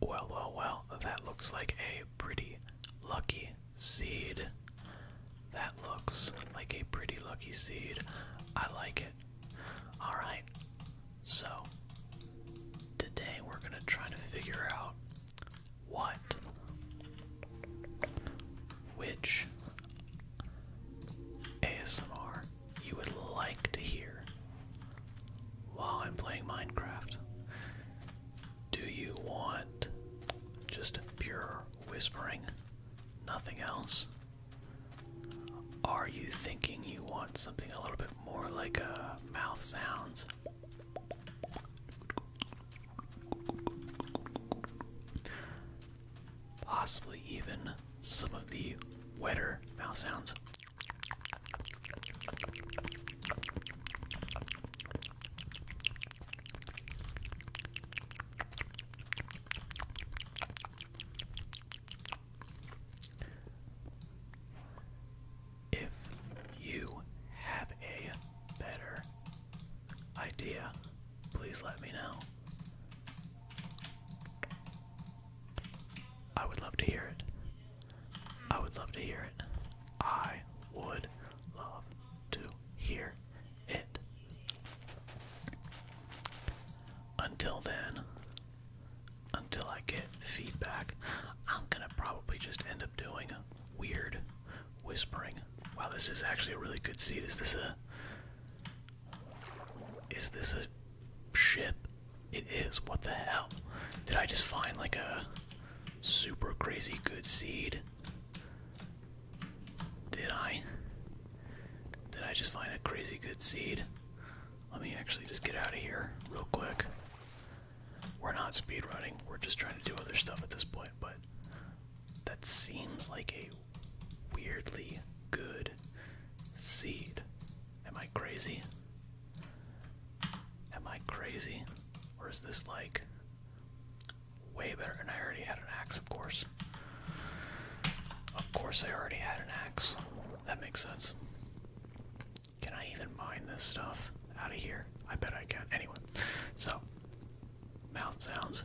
Well, well, well, that looks like a pretty lucky seed. That looks like a pretty lucky seed. I like it. Alright, so today we're gonna try to figure out what, which ASMR you would like to hear while I'm playing Minecraft. Do you want just pure whispering? Nothing else? Are you thinking you want something a little bit more like a uh, mouth sounds? Possibly even some of the wetter mouth sounds. If you have a better idea, please let me know. I would love to hear it. I would love to hear it. I would love to hear it. Until then, until I get feedback, I'm gonna probably just end up doing a weird whispering. Wow, this is actually a really good seat. Is this a. Is this a Ship! it is. What the hell? Did I just find like a super crazy good seed? Did I? Did I just find a crazy good seed? Let me actually just get out of here real quick. We're not speedrunning, we're just trying to do other stuff at this point, but that seems like a weirdly good seed. Am I crazy? Am I crazy? Or is this like way better? And I already had an axe, of course. Of course, I already had an axe. That makes sense. Can I even mine this stuff out of here? I bet I can. Anyway, so mouth sounds.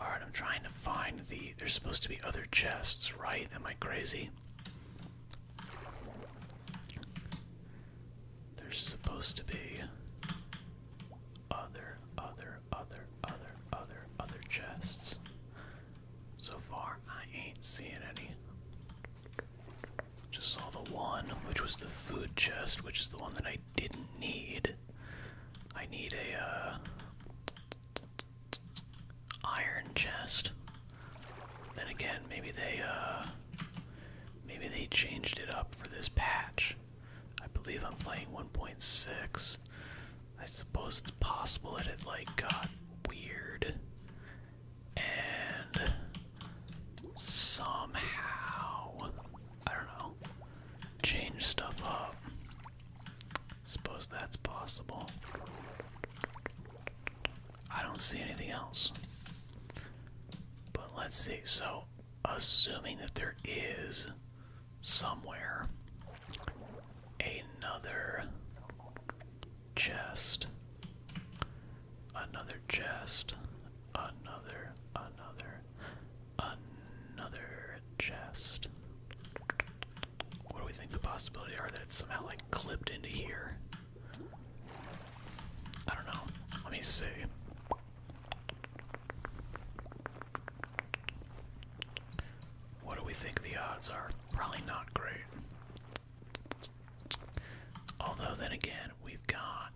Alright, I'm trying to find the. There's supposed to be other chests, right? Am I crazy? There's supposed to be other, other, other, other, other, other chests. So far, I ain't seeing any. Just saw the one, which was the food chest, which is the one that I didn't need. I need a uh, iron chest. Then again, maybe they uh, maybe they changed it up for this patch. I believe I'm playing 1.6. I suppose it's possible that it like got weird and somehow, I don't know, change stuff up. Suppose that's possible. I don't see anything else. But let's see. So, assuming that there is somewhere another chest, another chest, another, another, another chest. What do we think the possibility are that somehow like clipped into here? I don't know. Let me see. What do we think the odds are? Probably not great. Although, then again, we've got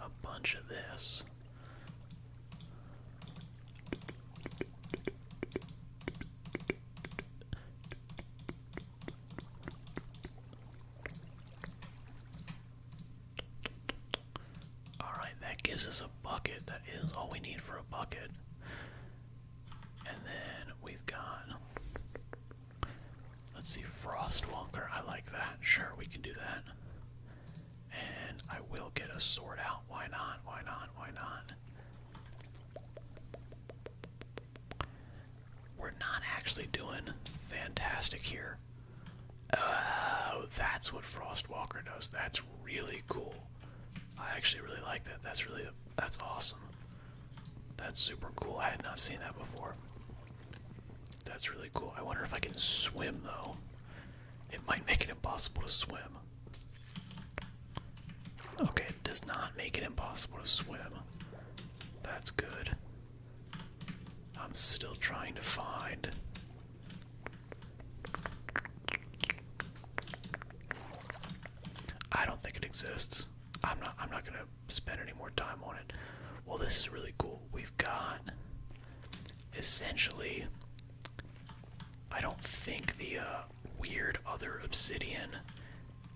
a bunch of this. Alright, that gives us a bucket. That is all we need for a bucket. And then we've got Let's see, Frostwalker. I like that. Sure, we can do that. And I will get a sword out. Why not? Why not? Why not? We're not actually doing fantastic here. Oh, that's what Frostwalker does. That's really cool. I actually really like that. That's really that's awesome. That's super cool. I had not seen that before. That's really cool. I wonder if I can swim though. It might make it impossible to swim. Okay, it does not make it impossible to swim. That's good. I'm still trying to find. I don't think it exists. I'm not I'm not gonna spend any more time on it. Well this is really cool. We've got essentially I don't think the uh, weird other obsidian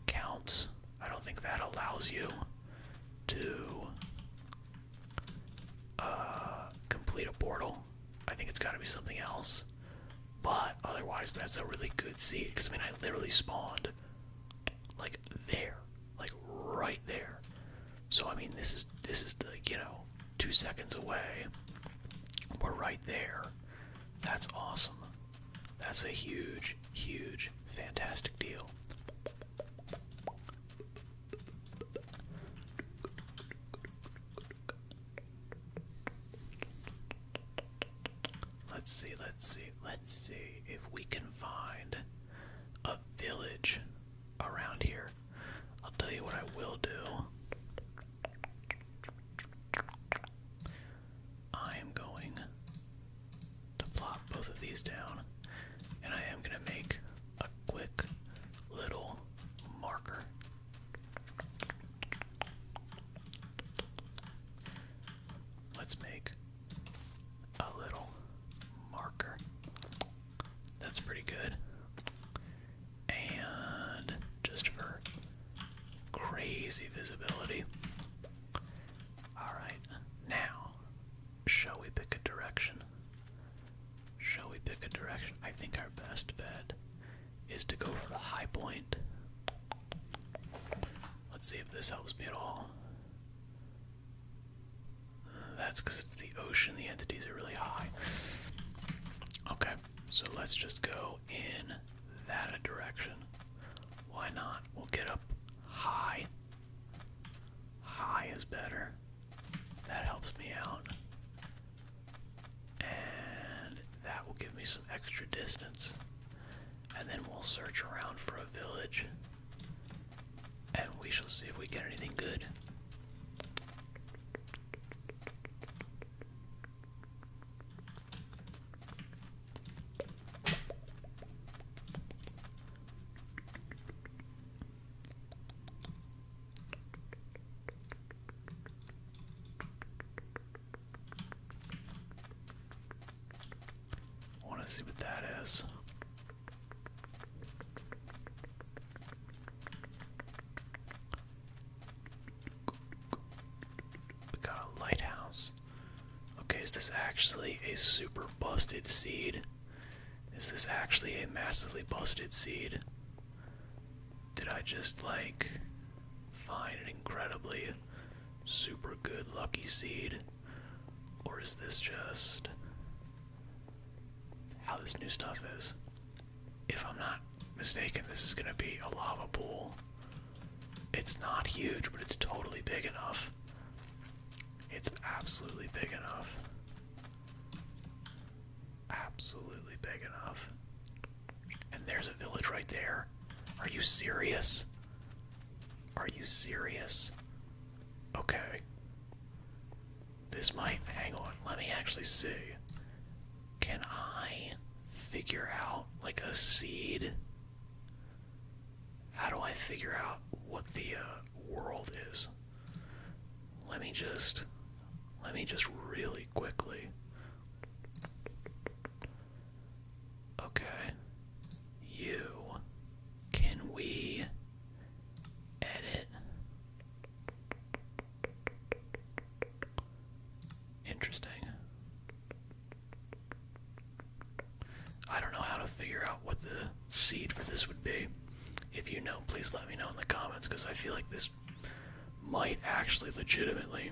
counts. I don't think that allows you to uh, complete a portal. I think it's got to be something else. But otherwise, that's a really good seat because I mean, I literally spawned like there, like right there. So I mean, this is this is the you know two seconds away. We're right there. That's awesome. That's a huge, huge, fantastic deal. Let's see, let's see, let's see if we can find a village around here. I'll tell you what I will do. I am going to plot both of these down, and I am going to make a quick little marker. Let's make a little marker. That's pretty good. And just for crazy visibility. Alright, now, shall we pick a direction? Shall we pick a direction? I think our best bet is to go for the high point. Let's see if this helps me at all. that's because it's the ocean, the entities are really high. Okay, so let's just go in that direction. Why not? We'll get up high. High is better. That helps me out. And that will give me some extra distance. And then we'll search around for a village. And we shall see if we get anything good. I want to see what that is. We got a lighthouse. Okay, is this actually a super busted seed? Is this actually a massively busted seed? Did I just like find an incredibly super good lucky seed? Or is this just how this new stuff is? If I'm not mistaken, this is gonna be a lava pool. It's not huge, but it's totally big enough. It's absolutely big enough. Absolutely big enough. And there's a village right there. Are you serious? Are you serious? Okay. This might. Hang on. Let me actually see. Can I figure out, like, a seed? How do I figure out what the uh, world is? Let me just. Let me just really quickly. Okay. You. Can we edit? Interesting. I don't know how to figure out what the seed for this would be. If you know, please let me know in the comments because I feel like this might actually legitimately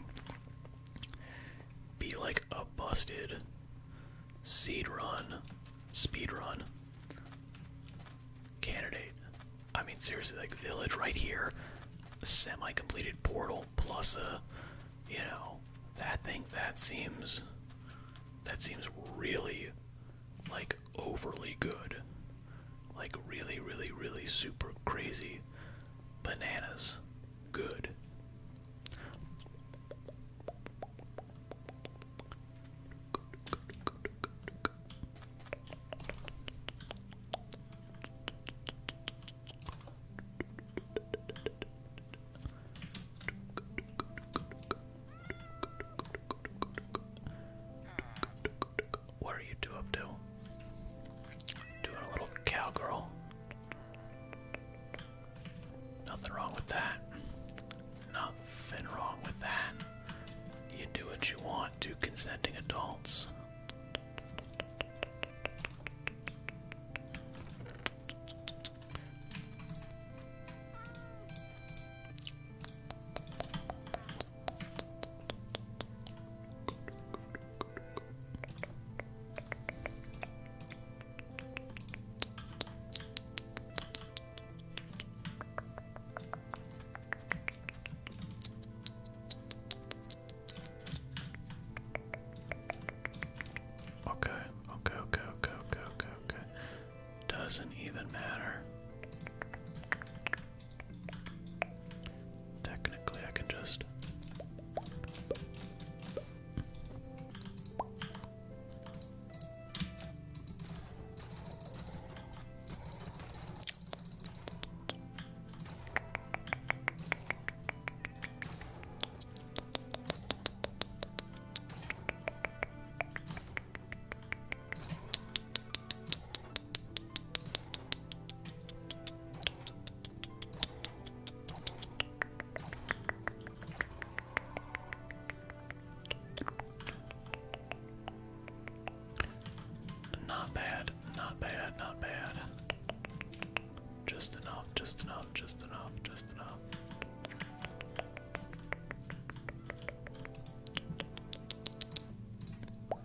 be like a busted seed run, speed run candidate. I mean, seriously, like village right here, semi-completed portal plus a, you know, that thing that seems, that seems really, like overly good, like really, really, really super crazy bananas good. What are you two up to? Doing a little cowgirl. Nothing wrong with that. Nothing wrong with that. You do what you want, to consenting adults. Okay, okay, okay, okay, okay, okay, okay. Doesn't even matter. Technically, I can just. Not bad, not bad, not bad. Just enough, just enough, just enough, just enough.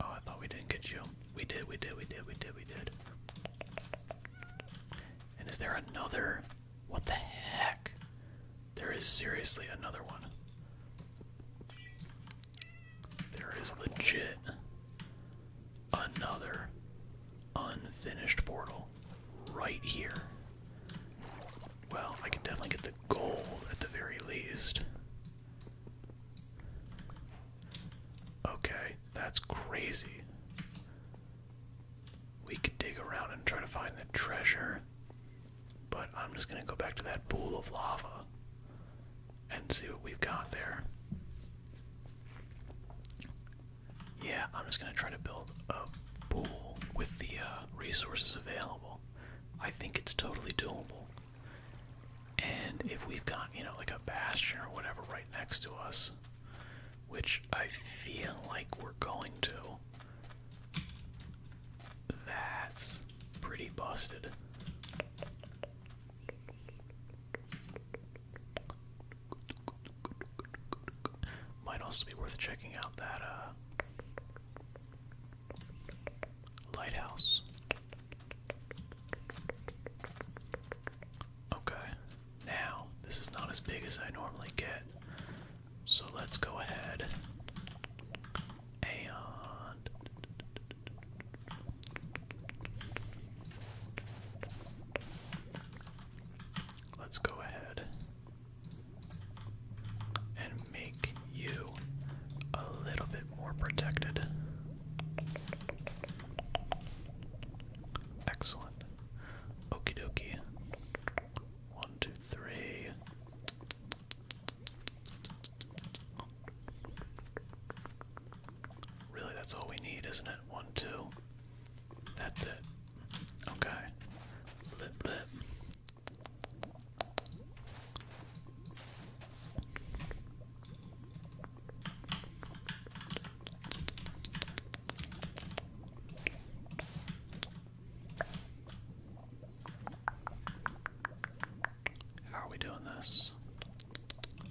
Oh, I thought we didn't get you. We did, we did, we did, we did, we did. And is there another? What the heck? There is seriously another one. There is legit another unfinished portal right here. Well, I can definitely get the gold at the very least. Okay, that's crazy. We could dig around and try to find the treasure, but I'm just gonna go back to that pool of lava and see what we've got there. Yeah, I'm just gonna try to build a pool with the uh, resources available. I think it's totally doable. And if we've got, you know, like a bastion or whatever right next to us, which I feel like we're going to, that's pretty busted. Might also be worth checking out that uh, Lighthouse. Okay, now this is not as big as I normally get, so let's go ahead and let's go ahead and make you a little bit more protected. Excellent. Okie dokie. One, two, three. Really, that's all we need, isn't it? One, two. That's it. Okay. Blip, blip. How are we doing this?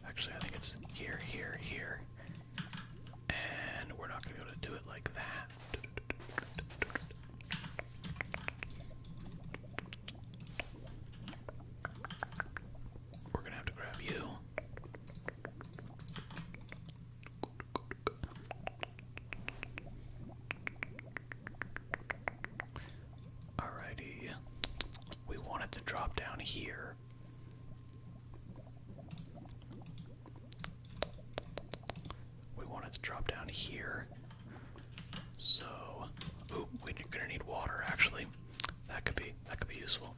Actually, I think it's here, here, here. And we're not going to be able to do it like that. We're gonna have to grab you. Alrighty. We wanted to drop down here. We want it to drop down here. So, ooh, we're gonna need water actually. That could be that could be useful.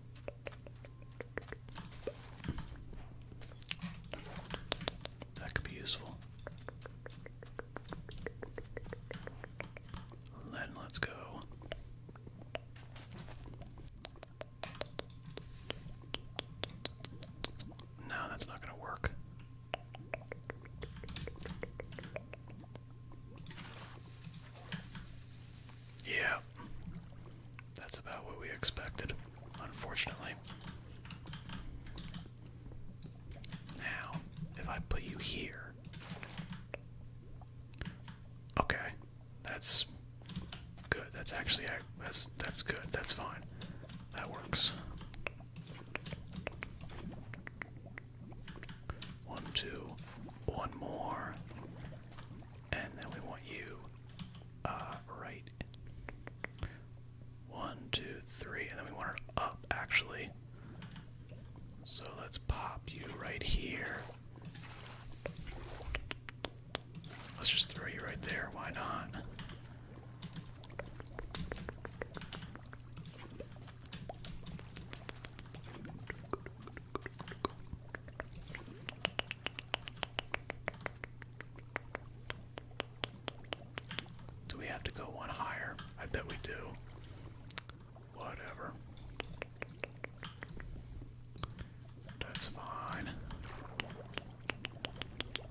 That could be useful. Then let's go. No, that's not gonna work. Yeah. That's about what we expected, unfortunately. Now, if I put you here. Okay. That's good. That's actually that's that's good. That's fine. That works. One, two, one more. And then we want you uh, right. One, two, three. And then we want her up, actually. So let's pop you right here. Let's just throw you right there. Why not? Do we have to go one higher? I bet we do. Whatever. That's fine.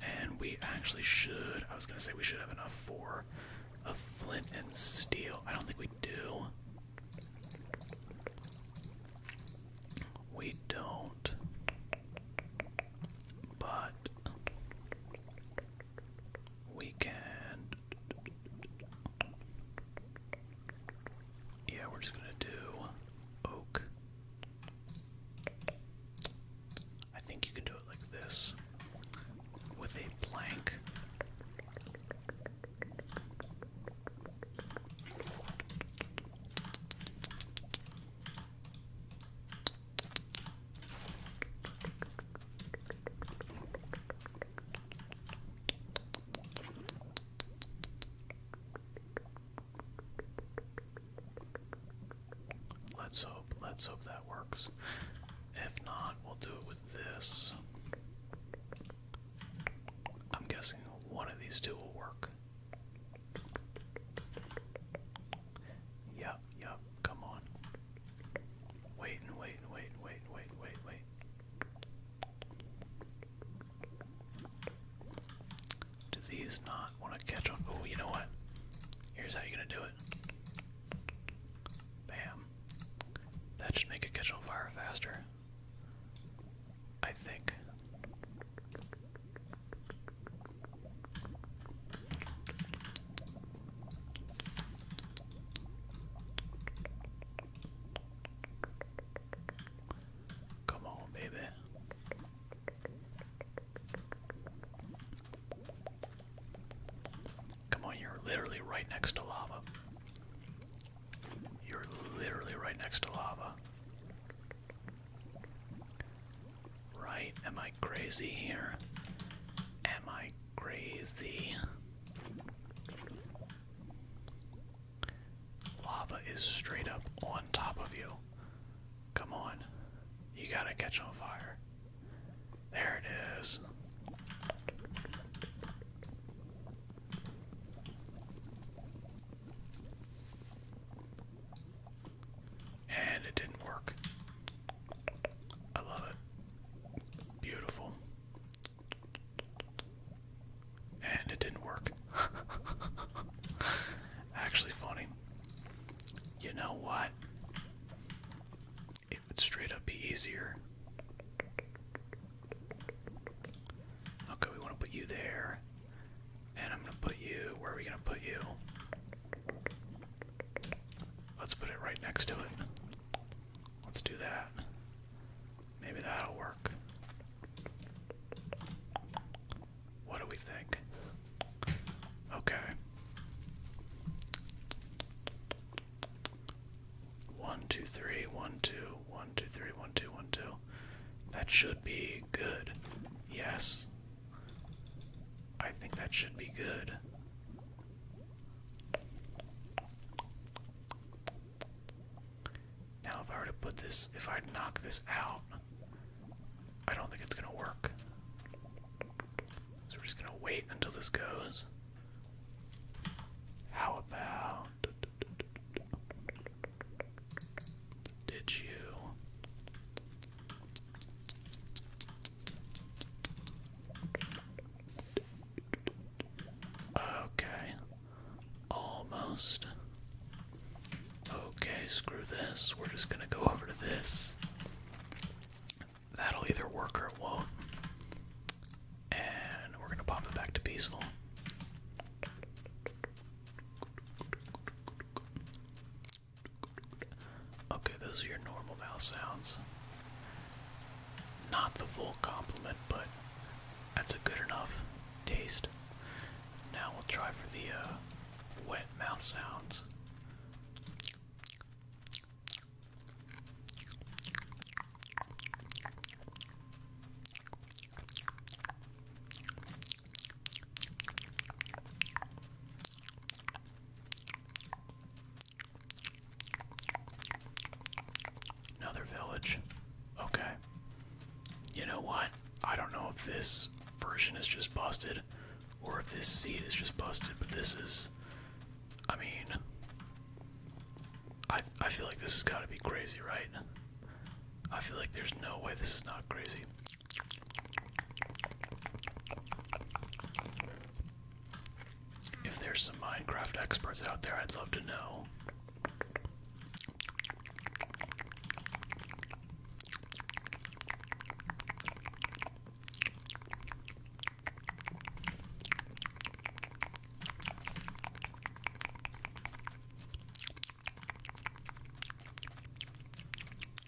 And we actually should, I was gonna say we should have enough for a flint and steel. I don't think we do. We don't. But we can. Yeah, we're just gonna do oak. I think you can do it like this with a plank. Let's hope, let's hope that works. If not, we'll do it with this. I'm guessing one of these two will work. Yep, yep, come on. Wait and wait and wait and wait and wait and wait wait. Do these not want to catch on? Oh, you know what? Here's how you're gonna do it. Bam. That should make it catch on fire faster. I think. Come on, baby. Come on, you're literally right next to lava. You're literally right next to lava. Right? Am crazy here? Am I crazy? Lava is straight up on top of you. Come on. You gotta catch on fire. There it is. And it didn't work. I love it. Beautiful. And it didn't work. Actually, funny. You know what? It would straight up be easier. Okay, we want to put you there. And I'm going to put you. Where are we going to put you? Let's put it right next to it. Let's do that. Maybe that'll work. What do we think? Okay. One, One, One, two, two. two, three. One, two. One, two. That should be good. Yes. I think that should be good. Now, if I were to put this, if I knock this out, I don't think it's gonna work. So we're just gonna wait until this goes. How about. Did you Okay. Almost. Okay, screw this. We're just gonna go over to this. That'll either work or it won't. And we're gonna pop it back to peaceful. Okay, those are your normal mouth sounds. Not the full complement, but that's a good enough taste. Now we'll try for the uh, wet mouth sounds. Another village. Okay. You know what? I don't know if this version is just busted or if this seed is just busted, but this is. I mean. I, I feel like this has got to be crazy, right? I feel like there's no way this is not crazy. If there's some Minecraft experts out there, I'd love to know.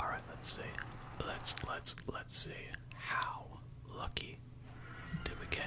All right, let's see. Let's let's let's see how lucky did we get?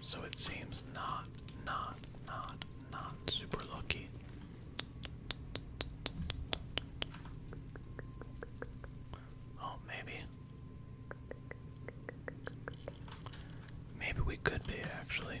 So it seems not, not, not, not super lucky. Oh, maybe. Maybe we could be actually.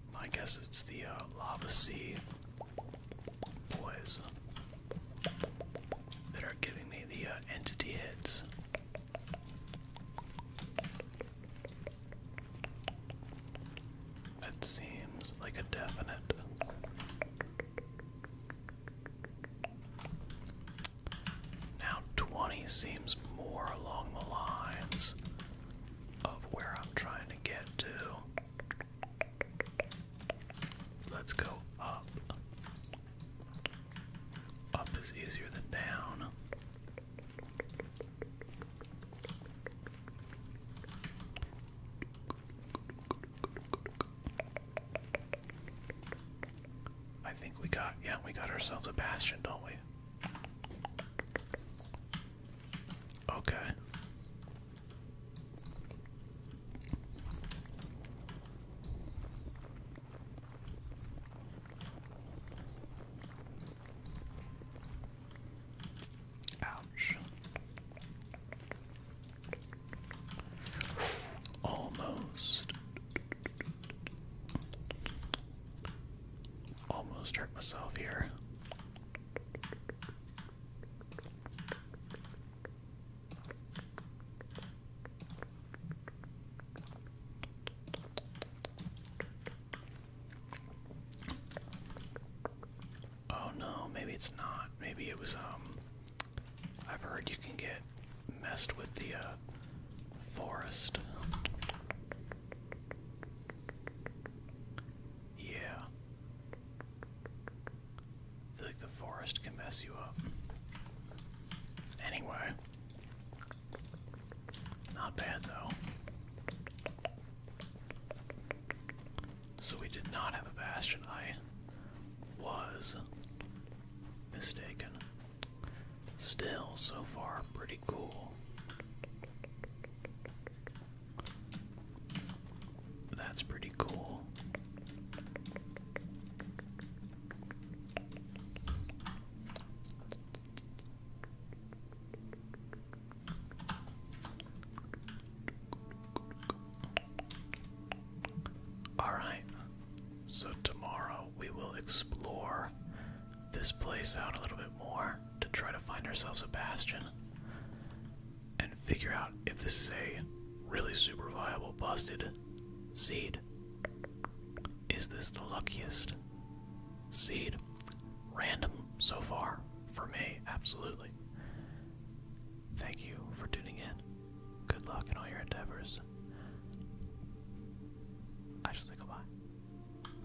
I guess it's the uh, lava sea boys that are giving me the uh, entity hits. That seems like a definite. Now 20 seems more along the lines of where I'm trying to get to. Let's go up. Up is easier than down. I think we got, yeah, we got ourselves a passion, don't we? Okay. Ouch. Almost. Almost hurt myself here. Oh no, maybe it's not. Maybe it was, um. I've heard you can get messed with the, uh, forest. Yeah. I the forest can mess you up. Anyway. Not bad though. So we did not have a bastion. I was mistaken. Still, so far, pretty cool. That's pretty cool. All right. So tomorrow we will explore this place out a little bit more to try to find ourselves a bastion and figure out if this is a really super viable busted seed. Is this the luckiest seed? Random so far for me, absolutely. Thank you for tuning in. Good luck in all your endeavors. I shall say goodbye.